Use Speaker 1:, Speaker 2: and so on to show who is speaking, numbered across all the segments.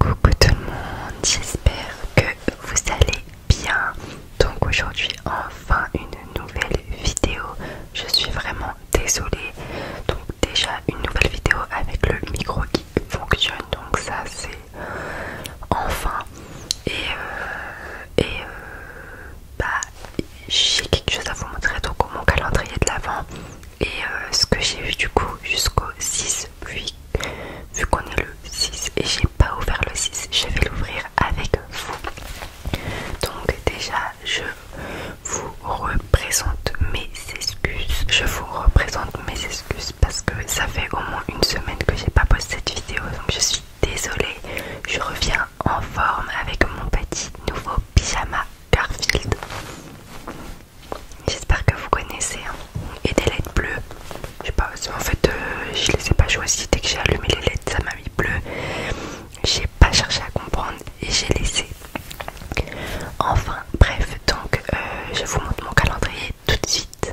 Speaker 1: Coucou tout le monde, j'espère que vous allez bien. Donc aujourd'hui enfin une nouvelle vidéo. Je suis vraiment désolée. Donc déjà une nouvelle vidéo avec le micro qui fonctionne. Donc ça c'est enfin. Et, euh, et euh, bah j'ai quelque chose à vous montrer. Donc mon calendrier de l'avant et euh, ce que j'ai eu du coup jusqu'au 6 vu qu'on est le 6 et j'ai pas ouvert le 6 je vais l'ouvrir avec vous donc déjà je vous représente mes excuses je vous représente mes excuses parce que ça fait au moins une semaine que j'ai pas posté cette vidéo donc je suis désolée je reviens en forme avec mon petit nouveau pyjama Garfield J'espère que vous connaissez. Hein. Et des LED bleues. Je sais pas, en fait, euh, je les ai pas choisis. Dès que j'ai allumé les LED, ça m'a mis bleu. J'ai pas cherché à comprendre et j'ai laissé. Enfin, bref, donc euh, je vous montre mon calendrier tout de suite.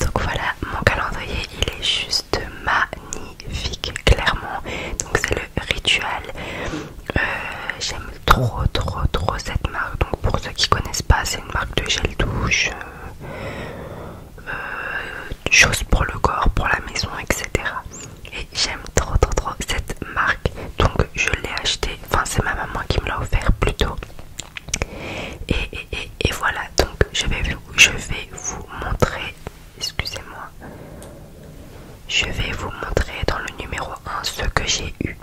Speaker 1: Donc voilà, mon calendrier il est juste magnifique, clairement. Donc c'est le rituel. Euh, j'aime trop, trop, trop cette marque. Donc pour ceux qui connaissent pas, c'est une marque de gel douche, euh, euh, chose pour le corps, pour la maison, etc et j'aime trop trop trop cette marque donc je l'ai acheté enfin c'est ma maman qui me l'a offert plutôt et, et, voilà donc je vais vous, je vais vous montrer excusez-moi je vais vous montrer dans le numéro 1 ce que j'ai eu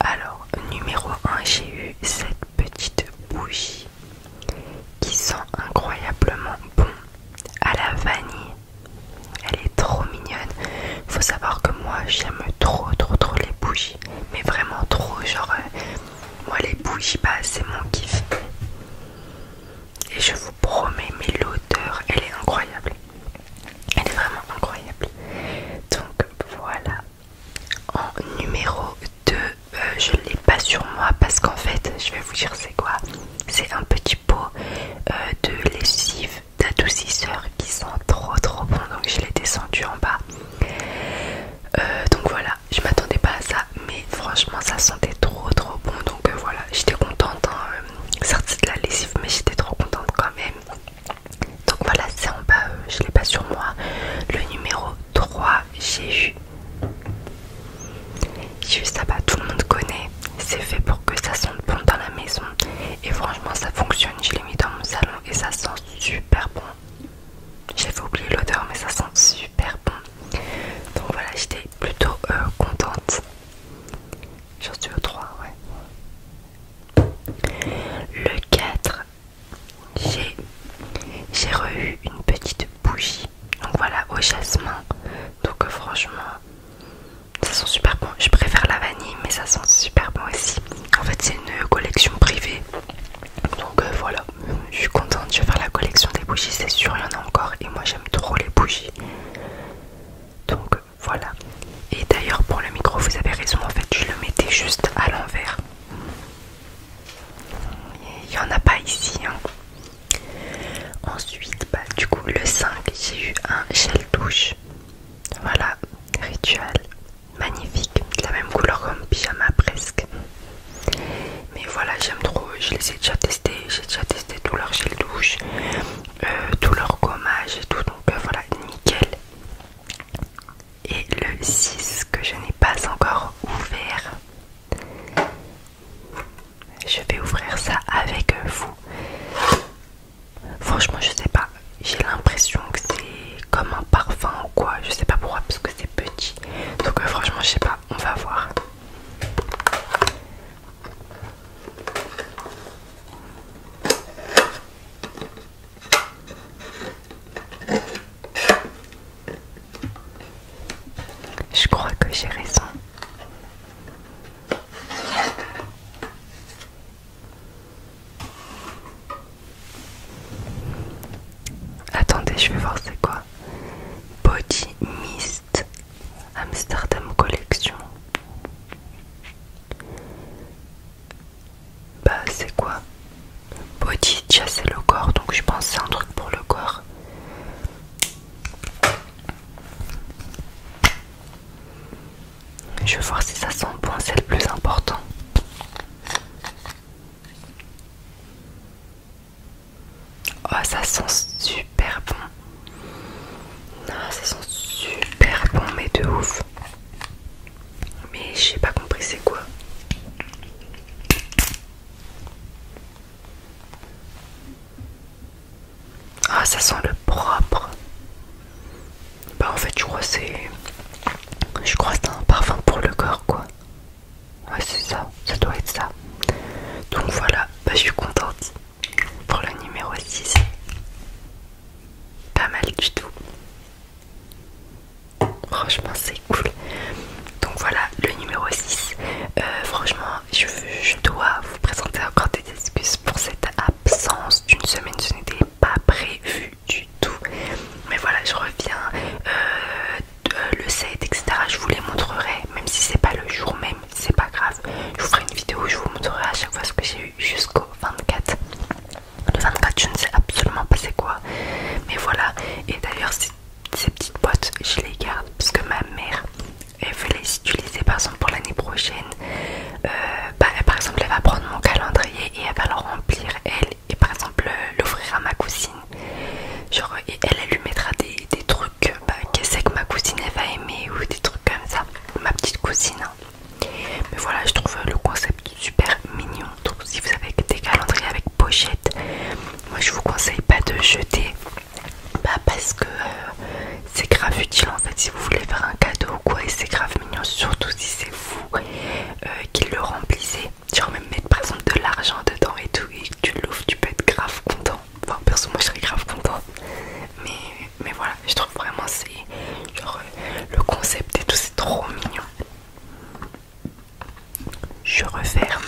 Speaker 1: alors numéro 1 j'ai eu cette petite bougie qui sent incroyablement bon à la vanille elle est trop mignonne. Faut savoir que moi j'aime trop trop trop les bougies. Mais vraiment trop. Genre euh, moi les bougies pas bah, c'est mon kiff. Et je vous promets mais l'odeur elle est incroyable. Elle est vraiment incroyable. Donc voilà. En numéro 2, euh, je ne l'ai pas sur moi parce qu'en fait, je vais vous dire c'est quoi c'est un petit pot euh, de lessive d'adoucisseur qui sent trop trop bon donc je l'ai descendu en bas euh, donc voilà je m'attendais pas à ça mais franchement ça sentait trop trop bon donc euh, voilà j'étais contente hein, sortie de la lessive mais j'étais trop contente quand même donc voilà c'est en bas je l'ai pas sur moi le numéro 3 j'ai eu Juste eu ça, tout le monde connaît. C'est fait pour que ça sente bon dans la maison. Et franchement, ça fonctionne. Je l'ai mis dans mon salon et ça sent super bon. J'avais oublié l'odeur, mais ça sent super bon. Donc voilà, j'étais plutôt euh, contente. J'en suis au 3, ouais. Le 4, j'ai reçu une petite bougie. Donc voilà, au jasmin donc euh, franchement ça sent super bon je préfère la vanille mais ça sent super bon aussi en fait c'est une collection privée donc euh, voilà je suis contente je vais faire la collection des bougies c'est sûr il y en a encore et moi j'aime trop les bougies donc voilà et d'ailleurs pour le micro vous avez raison en fait je le mettais juste à l'envers il n'y en a pas ici hein. Ensuite, bah, du coup, le 5, j'ai eu un gel douche. Voilà, rituel magnifique, de la même couleur comme pyjama presque. Mais voilà, j'aime trop, je les ai déjà testés, j'ai déjà testé tout leur gel douche, euh, tout leur gommage et tout, donc euh, voilà, nickel. Et le 6 que je n'ai pas encore ouvert, je vais ouvrir ça avec vous. Franchement, je sais pas. J'ai l'impression que c'est comme un parfum ou quoi. Je sais pas pourquoi, parce que c'est petit. Donc, euh, franchement, je sais pas. On va voir. Je crois que j'ai raison. Attendez, je vais voir c'est quoi. Body Mist Amsterdam Collection. Bah c'est quoi Body le corps donc je pense c'est un truc pour le corps je vais voir si ça sent bon c'est le plus important oh ça sent super bon ah, ça sent super bon mais de ouf mais j'ai pas compris c'est quoi ah, ça sent le propre. Bah, en fait, je crois c'est. Je crois c'est un parfum pour le corps, quoi. Ouais, c'est ça, ça doit être ça. Donc voilà, bah, je suis contente pour le numéro 6. Pas mal du tout franchement c'est cool donc voilà le numéro 6 euh, franchement je, dois vous présenter encore des excuses pour cette absence d'une semaine ce n'était pas prévu du tout mais voilà je reviens euh, euh, le 7 etc je vous les montrerai même si c'est pas le jour même c'est pas grave je vous ferai une vidéo où je vous montrerai à chaque fois ce que j'ai eu jusqu'au 24 le 24 je ne sais absolument pas c'est quoi mais voilà et d'ailleurs ces, petites boîtes, je les garde parce que ma mère, elle veut les utiliser par exemple pour l'année prochaine. Euh, bah, par exemple, elle va prendre mon calendrier et elle va le remplir, elle, et par exemple l'offrir à ma cousine. Genre, elle, lui mettra des, des trucs bah, qu'elle que ma cousine elle va aimer ou des trucs comme ça. Ma petite cousine. Hein. Mais voilà, je trouve le concept super mignon. Donc si vous avez des calendriers avec pochettes moi je vous conseille pas de jeter. Bah parce que euh, c'est grave utile en fait si vous voulez faire un cadeau ou quoi et c'est grave mignon surtout si c'est vous euh, qui le remplissez. Tu même mettre par exemple de l'argent dedans et tout et tu l'ouvres, tu peux être grave content. Enfin perso moi je serais grave content. Mais, mais voilà, je trouve vraiment c'est genre euh, le concept et tout c'est trop mignon. Je referme.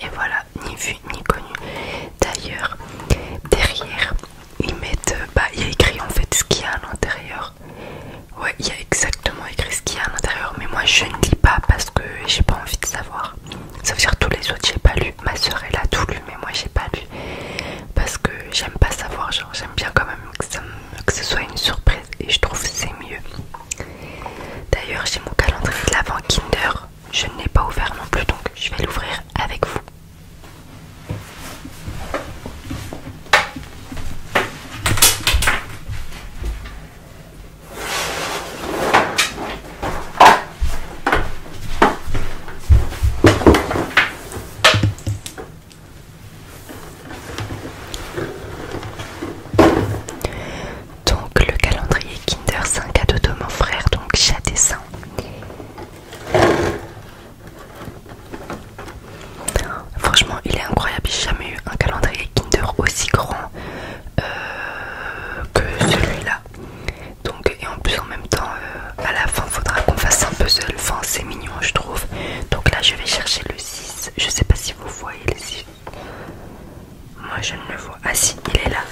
Speaker 1: Et voilà, ni vu ni connu. D'ailleurs, derrière, ils mettent, bah, il y a écrit en fait ce qu'il y a à l'intérieur. Ouais, il y a exactement exactement écrit ce qu'il y a à l'intérieur, mais moi je ne lis pas parce que j'ai pas envie de savoir. Ça veut dire tous les autres j'ai pas lu. Ma soeur elle a tout lu, mais moi j'ai pas lu parce que j'aime pas savoir. Genre j'aime bien quand même que, que ce soit une surprise et je trouve c'est mieux. D'ailleurs j'ai mon calendrier de l'avant Kinder, je ne l'ai pas ouvert non plus donc je vais l'ouvrir avec vous. Donc le calendrier Kinder 5 à deux de mon frère, donc chat Franchement, il est incroyable. J'ai jamais eu un calendrier Kinder aussi grand euh, que celui-là. Donc, et en plus, en même temps, euh, à la fin, faudra qu'on fasse un puzzle. Enfin, c'est mignon, je trouve. Donc là, je vais chercher le 6. Je sais pas si vous voyez le 6. Moi, je ne le vois. Ah, si, il est là.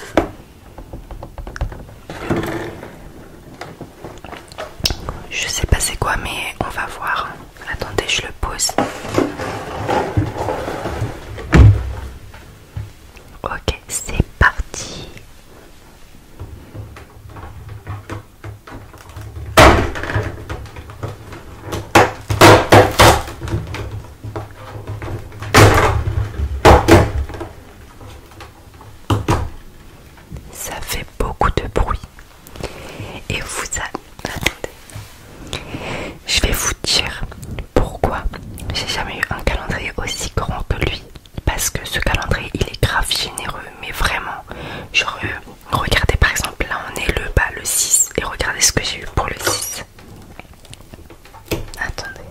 Speaker 1: Je sais pas c'est quoi, mais on va voir. Attendez, je le pose. Ok, c'est parti. Ça fait beaucoup de bruit. Et vous attendez. Je vais vous dire pourquoi j'ai jamais eu un calendrier aussi grand que lui. Parce que ce calendrier il est grave généreux, mais vraiment. Genre, euh, regardez par exemple, là on est le bas, le 6, et regardez ce que j'ai eu pour le 6. Attendez.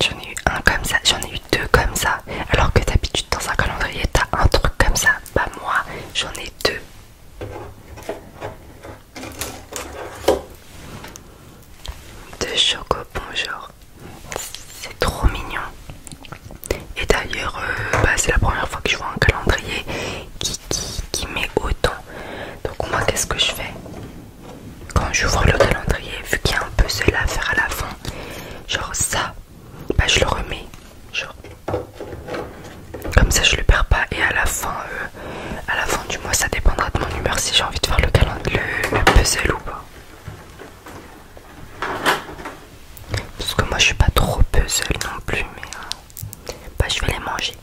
Speaker 1: J'en ai eu un comme ça, j'en ai eu deux comme ça. Alors que d'habitude dans un calendrier t'as un truc comme ça. pas bah, moi j'en ai deux. De Choco Bonjour. C'est trop mignon. Et d'ailleurs euh, bah, c'est la première fois que je vois un calendrier qui, qui met autant. Donc moi qu'est-ce que je fais quand j'ouvre le calendrier, vu qu'il y a un puzzle à faire à la fin, genre ça, bah je le remets, comme ça je le perds pas et à la fin, euh, à la fin du mois ça dépendra de mon humeur si j'ai envie de faire le, puzzle ou pas. Parce que moi je suis pas trop puzzle non plus mais euh, bah, je vais les manger.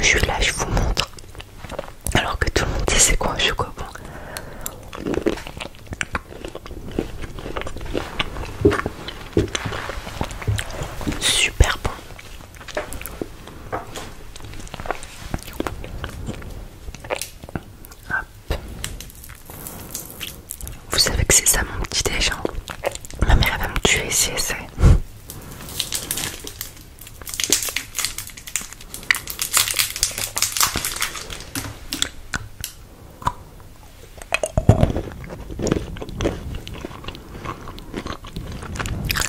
Speaker 1: Je suis là, je vous montre alors que tout le monde sait c'est quoi un chocobon. Super bon. Vous savez que c'est ça mon petit déjeuner. Hein. Ma mère elle va me tuer si elle sait.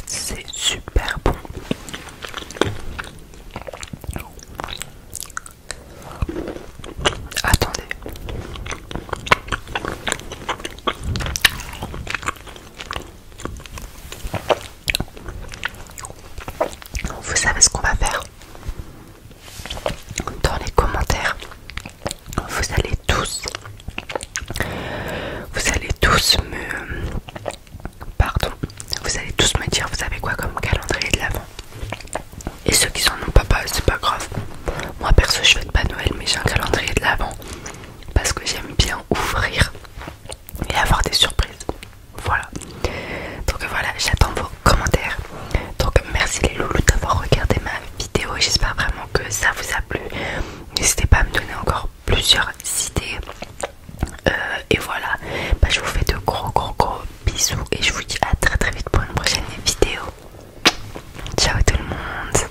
Speaker 1: C'est super bon. Attendez. Vous savez ce qu'on va faire Dans les commentaires, vous allez tous, vous allez tous me, pardon, vous allez tous me dire, vous avez quoi comme calendrier de l'avant Et ceux qui s'en ont pas, c'est pas grave. Moi perso, je fais pas Noël, mais j'ai un calendrier de l'avant parce que j'aime bien ouvrir et avoir des surprises. Voilà. Donc voilà, j'attends vos commentaires. Donc merci les loulous d'avoir regardé ma vidéo. J'espère vraiment que ça vous a plu. N'hésitez pas à me donner encore plusieurs idées. Euh, et voilà, bah, je vous fais de gros gros gros bisous et je vous dis à très très vite pour une prochaine vidéo. Ciao tout le monde